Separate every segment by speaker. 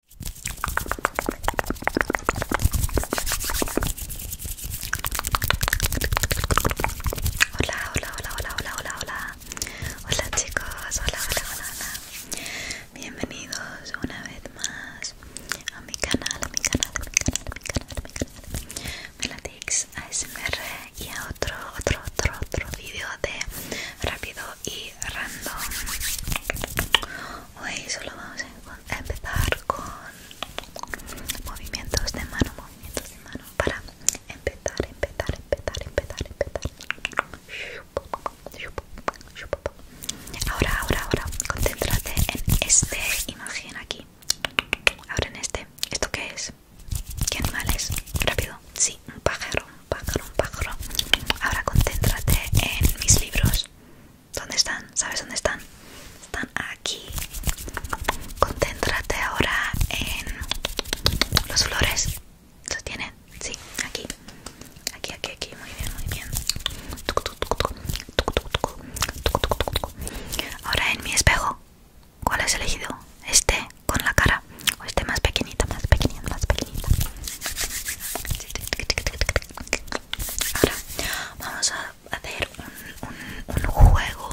Speaker 1: Hola, hola, hola, hola, hola, hola, hola. Hola chicos, hola, hola, hola, Bienvenidos una vez más a mi canal, a mi canal, a mi canal, a mi canal, a mi canal. Melatix ASMR y a otro, otro, otro, otro vídeo de rápido y random. Hoy solo vamos a empezar con movimientos de mano, movimientos de mano para empezar, empezar, empezar, empezar, empezar. Ahora, ahora, ahora, concéntrate en este imagen aquí. Ahora en este. ¿Esto qué es? ¿Qué animal es? Rápido. Sí, un pájaro pájaro, pájaro. Ahora concéntrate en mis libros. ¿Dónde están? ¿Sabes dónde están? Están aquí. Concéntrate ahora en los flores. ¿Los tienen? Sí, aquí. Aquí, aquí, aquí. Muy bien, muy bien. Ahora en mi espejo. ¿Cuál has elegido? Este con la cara. O este más pequeñita, más pequeñita, más pequeñita. Ahora vamos a hacer un, juego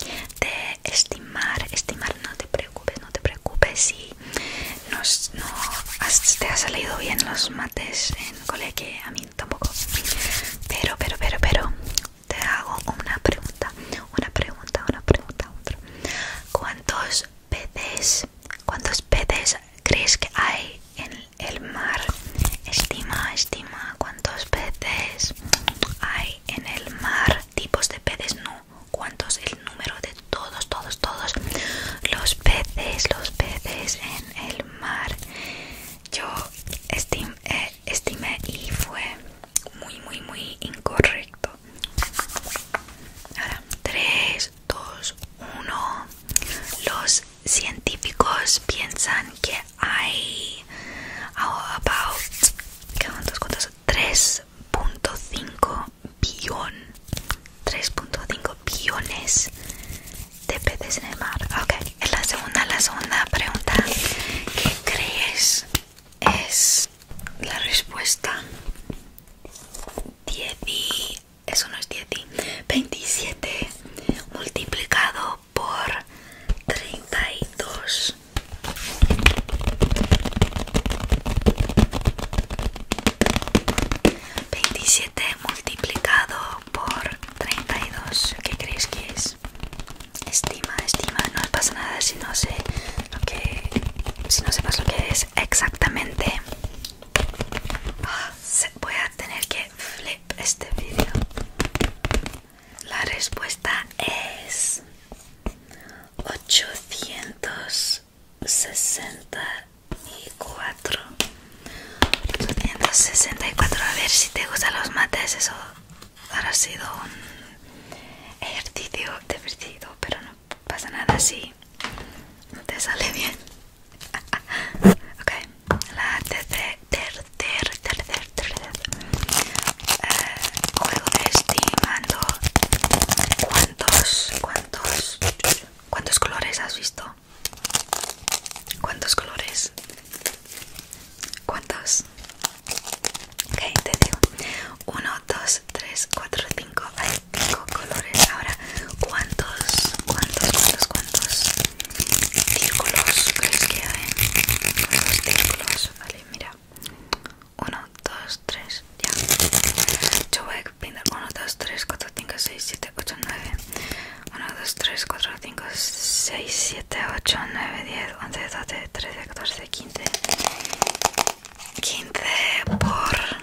Speaker 1: de estimar, estimar, no te preocupes, no te preocupes si no te ha salido bien los mates en cole, que a mí tampoco. Pero, pero, pero, pero, te hago una pregunta, una pregunta, una pregunta, otra. ¿Cuántos peces, cuántos peces crees que hay en el mar? Estima, estima cuántos peces hay en el mar. Tipos de peces no. cuántos, el número de todos, todos, todos los peces, los peces en el mar? Yo eh, estimé y fue muy, muy, muy incorrecto. Ahora, tres 2, 1. Los científicos piensan que hay 3.5 3.5 billones de peces en el mar. Ok, en la segunda, la segunda pregunta, ¿qué crees es la respuesta? eso no es 10 27 multiplicado por 32 27 multiplicado por 32 ¿qué creéis que es? estima, estima, no pasa nada si no sé lo que si no sepas lo que es exactamente Voy a tener que flip este vídeo. La respuesta es 864. 864. A ver si te gustan los mates. Eso habrá sido un ejercicio divertido, pero no pasa nada si te sale bien. ok, la ter tercer, tercer, ter ter eh, juego estimando cuántos, cuántos, cuántos colores has visto. ¿Cuántos colores? ¿Cuántos? Ok, te digo. 1, 2, 3, 4, 5. Hay 5 colores. Ahora, ¿cuántos, cuántos, cuántos, cuántos círculos crees que hay? ¿Cuántos círculos? Vale, mira. 1, 2, 3, ya. Yo voy a pintar 1, 2, 3, 4, 5, 6, 7, 8, 9. 1, 2, 3, 4, 5, 6, 7, 8, 9, 10, 11, 12, 13, 14, 15. 15 por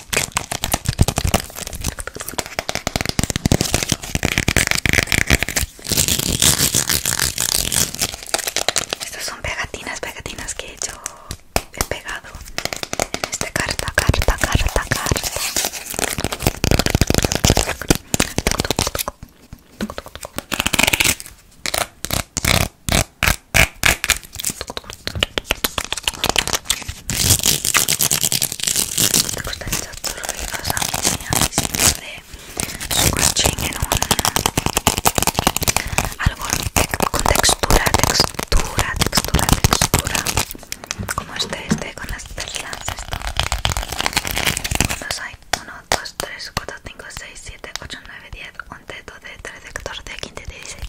Speaker 1: Estas son pegatinas, pegatinas que he hecho, he pegado en esta carta, carta, carta, carta. ¿Te gustan estos ruidos ambientes de scratching en un algo con textura, textura, textura, textura? Como este, este con las perlas, esto. ¿Cuántos hay? 1, 2, 3, 4, 5, 6, 7, 8, 9, 10, 11, 12, 13, 14, 15, 16,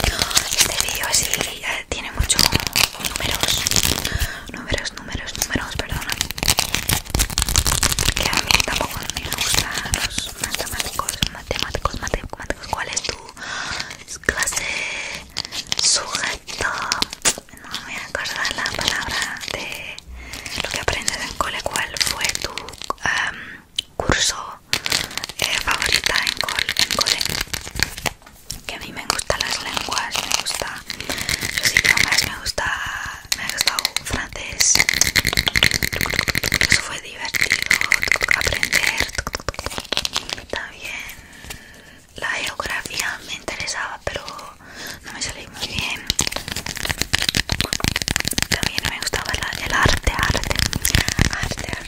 Speaker 1: 17. Este vídeo es tiene muchos números números números números perdona porque a mí tampoco me gustan los matemáticos matemáticos matemáticos cuál es tu clase sujeto no me acuerdo la palabra de lo que aprendes en cole cuál fue tu em, curso favorito eh, favorita en cole que a mí me gustan las lenguas, me gusta los idiomas, me gusta, me ha francés. Eso fue divertido aprender. También la geografía me interesaba, pero no me salí muy bien. También me gustaba la, el arte, arte, arte,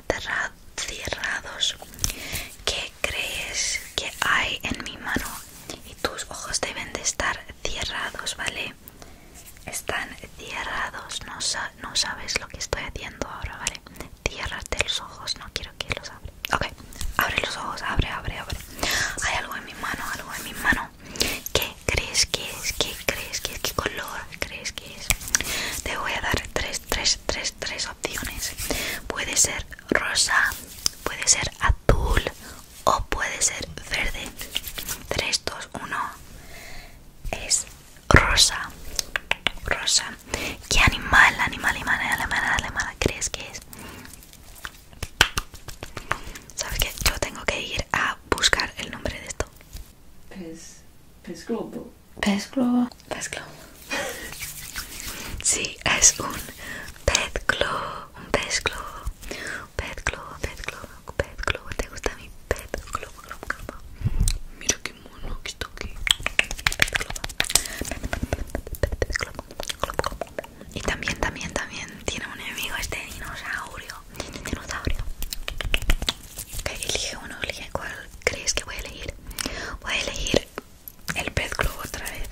Speaker 1: cerrados. ¿Qué crees que hay en mi mano? Y tus ojos deben de estar cerrados, ¿vale? Están cerrados. No, no sabes lo que estoy haciendo ahora, ¿vale? Cierrate los ojos. No quiero que los abra. Ok, abre los ojos. Abre, abre, abre. Hay algo en mi mano, algo en mi mano. ¿Qué crees que es? ¿Qué crees que es? ¿Qué color crees que es? Te voy a dar tres tres, tres, tres, opciones. Puede ser rosa, puede ser azul o puede ser verde. 3, 2, 1. Es rosa. Rosa. ¿Qué animal, animal, animal, animal, animal crees que es? ¿Sabes que Yo tengo que ir a buscar el nombre de esto. es pez pez globo. Pez globo. sí, es un pez globo. Un pez globo. pez globo, pez globo, pez ¿Te gusta mi pez globo, globo, Mira qué mono que está aquí. Pez globo. Pez globo. Y también, también, también tiene un enemigo este dinosaurio. Dinosaurio. Okay, elige uno, elige cuál crees que voy a elegir. Voy a elegir el pez globo otra vez.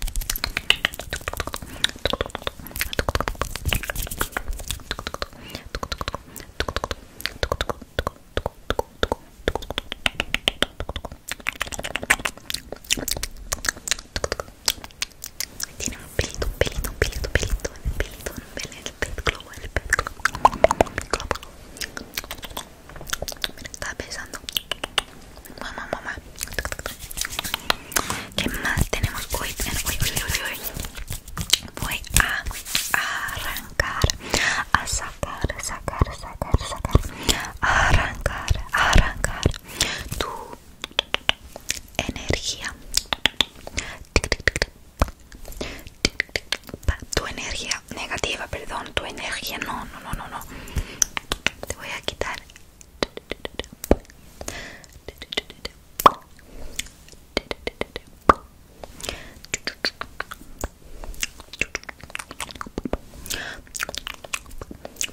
Speaker 1: Tiene un pelito, un pelito, un pelito, un pelito, un pelito, un pelito el pet pet Mira, Mamá, mamá. ¿Qué más tenemos hoy? Voy a, arrancar, a sacar, sacar, sacar, sacar. arrancar, arrancar. Tu energía tu energía negativa, perdón, tu energía no, no, no, no, no. Te voy a quitar.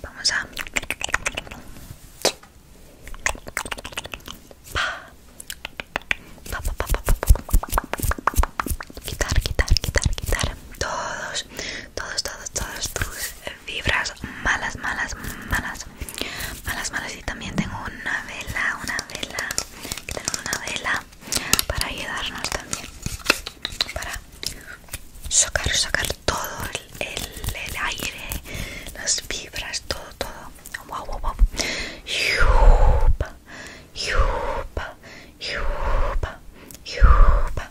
Speaker 1: Vamos a pa. Pa, pa, pa, pa, Quitar, quitar, quitar, quitar todos, todos, todos, todos tus vibras malas, malas, malas, malas, malas. Y también tengo una vela, una vela, una vela para ayudarnos también, para sacar, sacar todo el, el, aire, las vibras, todo, todo. Wow, wow, wow. Yupa, yupa, yupa.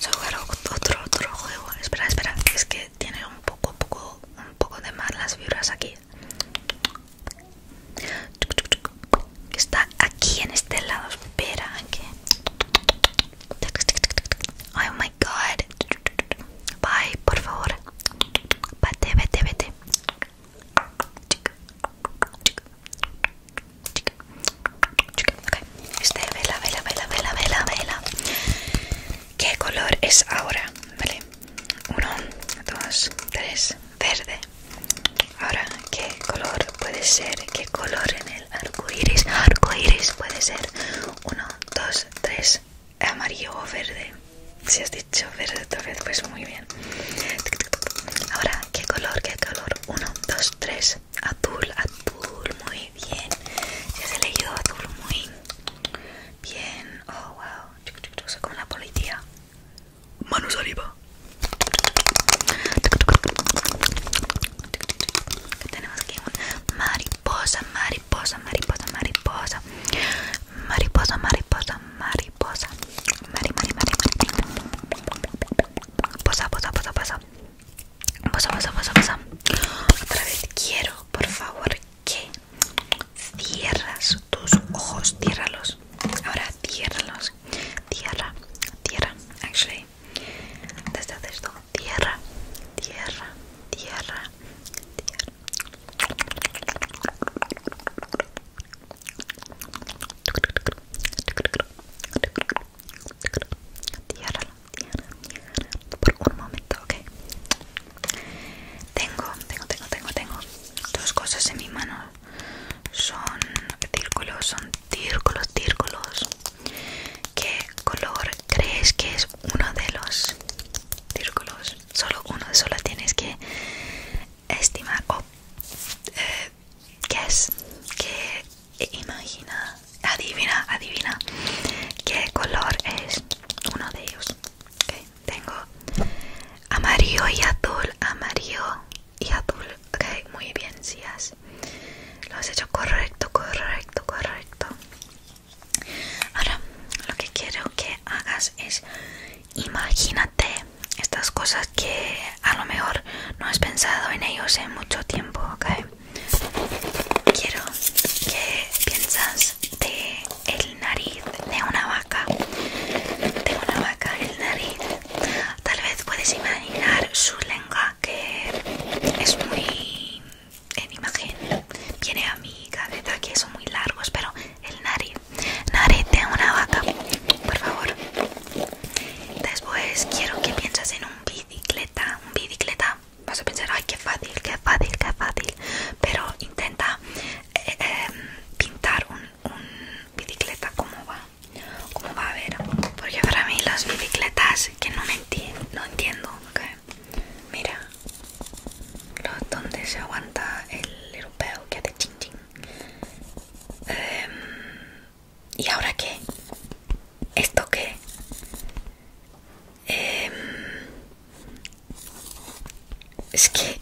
Speaker 1: Solo quiero otro, otro juego. Espera, espera, es que tiene un poco, poco, un poco de las vibras aquí. Está aquí en este lado. Espera, que. Oh my god. Bye, por favor. Vete, vete, vete. Este vela, vela, vela, vela, vela. ¿Qué color es ahora? ¿Vale? 1, 2, 3, verde. Ahora, ¿qué color puede ser? ¿Qué color en el arco iris? Arco iris puede ser 1, 2, 3 amarillo o verde. Si has dicho verde otra vez, pues muy bien. Ahora, ¿qué color? ¿Qué color? 1, 2, 3. Azul, azul, muy bien. Si has elegido azul, muy bien. Oh, wow. Soy como la policía. Manos arriba. tenemos aquí? Mariposa, mariposa mariposa, mariposa, mariposa, mariposa, mariposa, mariposa, mari, mari, mariposa, posa, posa, posa, posa, posa, posa, posa, posa. Otra vez quiero, por favor, que cierras tus ojos, ciérralos. Ahora ciérralos, tierra, tierra, actually, mariposa, esto, tierra, tierra, tierra, tierra por un momento, ok. Tengo, tengo, tengo, tengo, tengo dos cosas en mi mano. Son círculos, son círculos, círculos. ¿Qué color crees que es uno de los círculos? solo uno solo tienes que estimar o eh, es que eh, imagina adivina adivina qué color es uno de ellos tengo amarillo y azul amarillo y azul ok muy bien si lo has hecho correcto correcto correcto Ahora lo que quiero que hagas es imagínate estas cosas que a lo mejor no has pensado en ellos en mucho tiempo, ¿ok? Quiero que piensas de el nariz de una vaca, de una vaca el nariz. Tal vez puedes imaginar su lengua que es muy en imagen viene a mi cabeza que son muy largos pero el nariz nariz de una vaca por favor después quiero que pienses en un bicicleta un bicicleta vas a pensar ay que fácil que fácil qué fácil pero intenta eh, em, pintar un, bicicleta como va como va a ver porque para mí las bicicletas que no me entiendo no entiendo Mira, los donde se aguanta el europeo que hace ching ching. Em, ¿Y ahora que? ¿Esto qué? Em, es que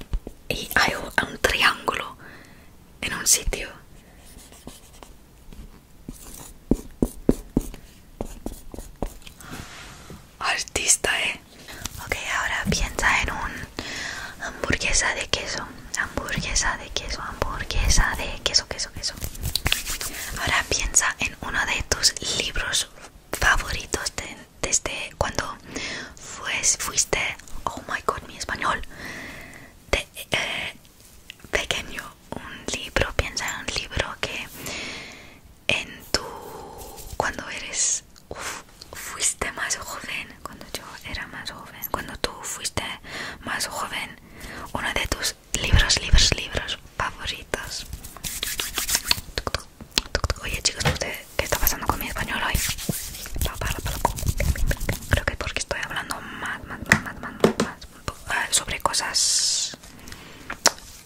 Speaker 1: hay un triángulo en un sitio artista, eh. Ok, ahora piensa en un hamburguesa de queso, hamburguesa de queso, hamburguesa de queso, queso, queso. Ahora piensa en uno de tus libros favoritos desde cuando fuiste, oh my god, mi español, de eh, pequeño. Un libro, piensa en un libro que en tu cuando eres fuiste más joven cuando yo era más joven cuando tú fuiste más joven uno de tus libros libros libros favoritos oye chicos qué está pasando con mi español hoy creo que porque estoy hablando más más más más, más sobre cosas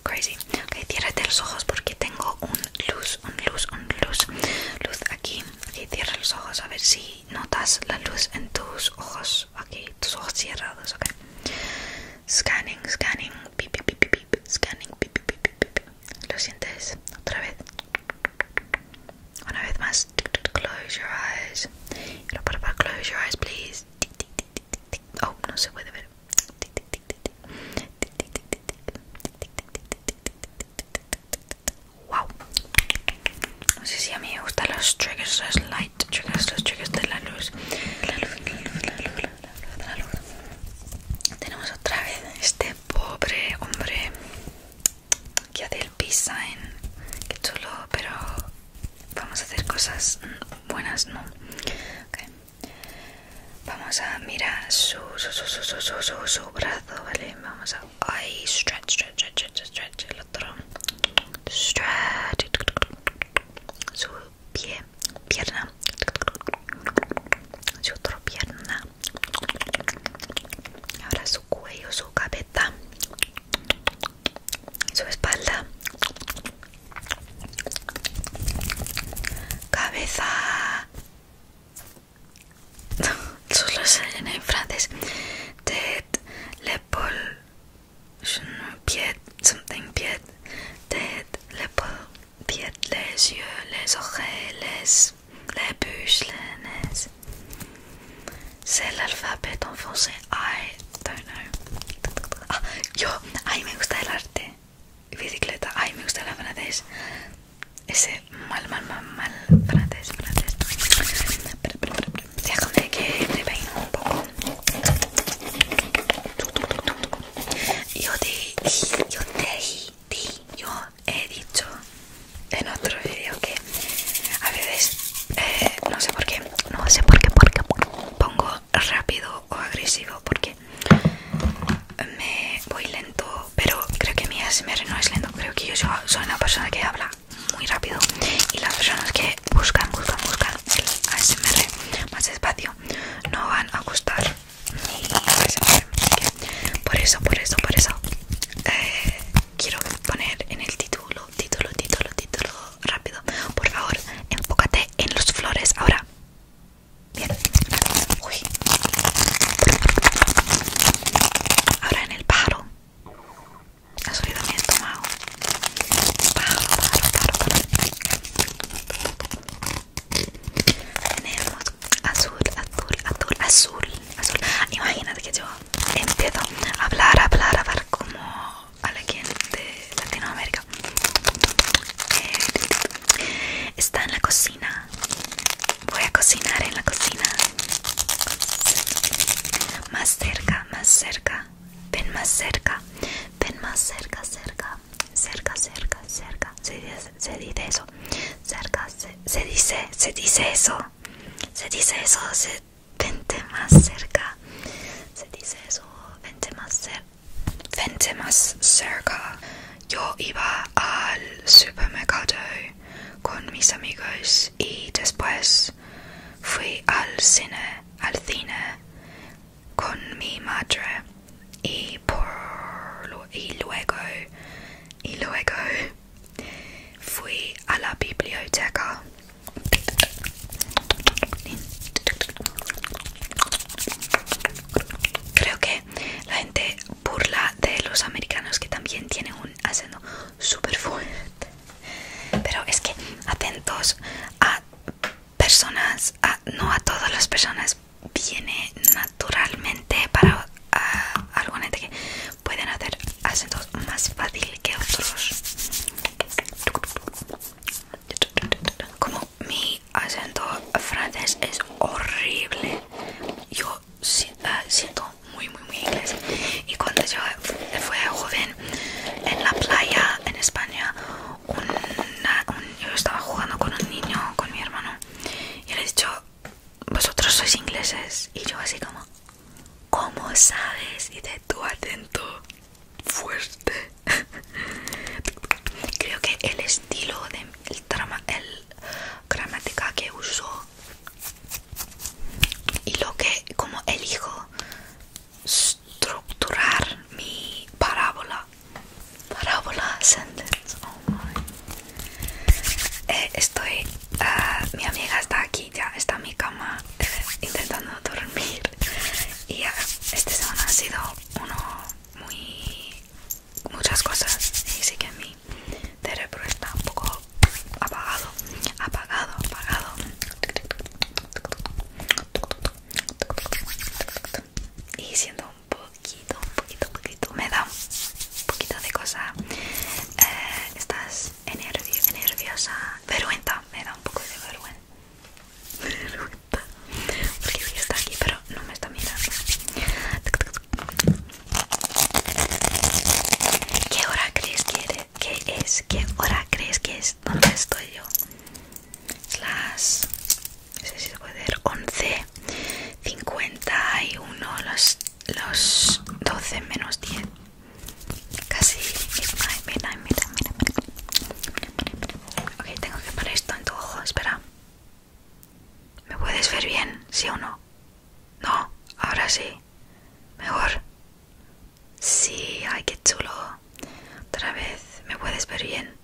Speaker 1: Crazy. okay ciérrate los ojos porque tengo un luz, un luz, un luz. Luz aquí. Ok, cierra los ojos a ver si notas la luz en tus ojos. Okay tus ojos cerrados, ok. Scanning, scanning, pip, pip, pip, pip, scanning, pip, pip, pip, pip. ¿Lo sientes? Otra vez. Una vez más. Close your eyes. close your eyes, please. Oh, no se puede ver. Wow. No sé si a mí me gustan los triggers, los light triggers, los triggers de la luz. Tenemos otra vez este pobre hombre que hace el peace sign. Qué chulo, pero vamos a hacer cosas mm, buenas, ¿no? Vamos a mirar su, su, su, su, su, su, su, brazo, ¿vale? Vamos a... ahí stretch, stretch, stretch, stretch, el otro. Stretch. Su pie, pierna. Su otra pierna. Ahora su cuello, su cabeza. Su espalda. Cabeza. Solo sé en francés. Tête, l'épaule. Pied, something, pied. Tête, l'épaule, pied, les yeux, les oreilles, les, les bûches, les nez. C'est l'alphabet en français. I don't know. Ah, yo, ay, me gusta el arte bicicleta. Ay, me gusta la frances, Ese mal, mal, mal, mal francés, se Déjame que me peino un poco. Yo te, yo te, yo he dicho en otro vídeo que a veces eh, no sé por qué, no sé por qué, por qué pongo rápido o agresivo porque me voy lento pero creo que mi ASMR no es lento creo que yo soy una persona que habla muy rápido y las personas que buscan buscan buscan el ASMR más despacio no van a gustar por eso por eso por eso eh, quiero poner en el título título título título rápido por favor enfócate en los flores ahora Bien, Ahora en el pájaro. ha yo también he estómago Pájaro, pájaro, pájaro, Tenemos azul, azul, azul, azul, azul. Imagínate que yo empiezo a hablar, a hablar, a hablar como a quien de Latinoamérica eh, está en la cocina voy a cocinar en la cocina más cerca más cerca ven más cerca ven más cerca cerca cerca cerca cerca se, dice eso cerca se, se dice se dice eso se dice eso se vente más cerca se dice eso vente más cerca 20 más cerca, yo iba al supermercado con mis amigos y después fui al cine, al cine con mi madre y por y luego y luego fui a la biblioteca Creo que la gente burla de los americanos que también tienen un acento super fuerte. Pero es que atentos a personas, no a todas las personas, viene naturalmente para alguna gente este que pueden hacer acentos más fácil que otros. Como mi acento francés es horrible, yo ah, siento muy, muy, muy inglés. Y cuando yo fui joven en la playa en España, yo estaba jugando con un niño, con mi hermano, y le he dicho, vosotros sois ingleses. Y yo así como, ¿cómo sabes? Y de tu acento fuerte Creo que el estilo de el, gramática que uso y lo que como elijo estructurar mi parábola parábola sentence oh my. Eh, estoy ah, mi amiga está aquí ya está en mi cama eh, intentando dormir y este semana ha sido uno muy muchas cosas y sí que mi cerebro está un poco apagado apagado apagado y siendo un poquito un poquito un poquito me da un poquito de cosa eh, estás nerviosa vergüenza me da un poco de vergüenza está aquí, pero no me está mirando. ¿Qué hora crees que es? ¿Qué hora crees que es? ¿Dónde estoy yo? las... puede 11. 51. Los, los 12 menos 10. Casi mira, mira, mira. Ok, tengo que poner esto en tu ojo, espera. ¿Me puedes ver bien, sí o no? No, ahora sí. Mejor. Sí, ay, qué chulo. Otra vez, ¿me puedes ver bien?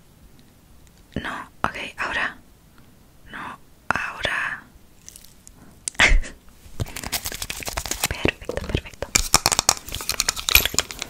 Speaker 1: No, ok, ahora. No, ahora. perfecto, perfecto.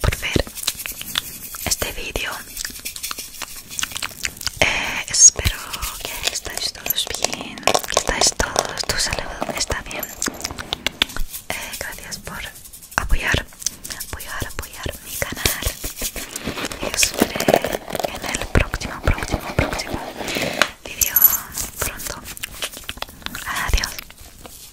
Speaker 1: por ver este vídeo. Eh, espero que estáis todos bien, que estáis todos, tu salud está bien. Eh, gracias por apoyar, apoyar, apoyar mi canal. Y os veré en el próximo, próximo, próximo vídeo pronto. Adiós.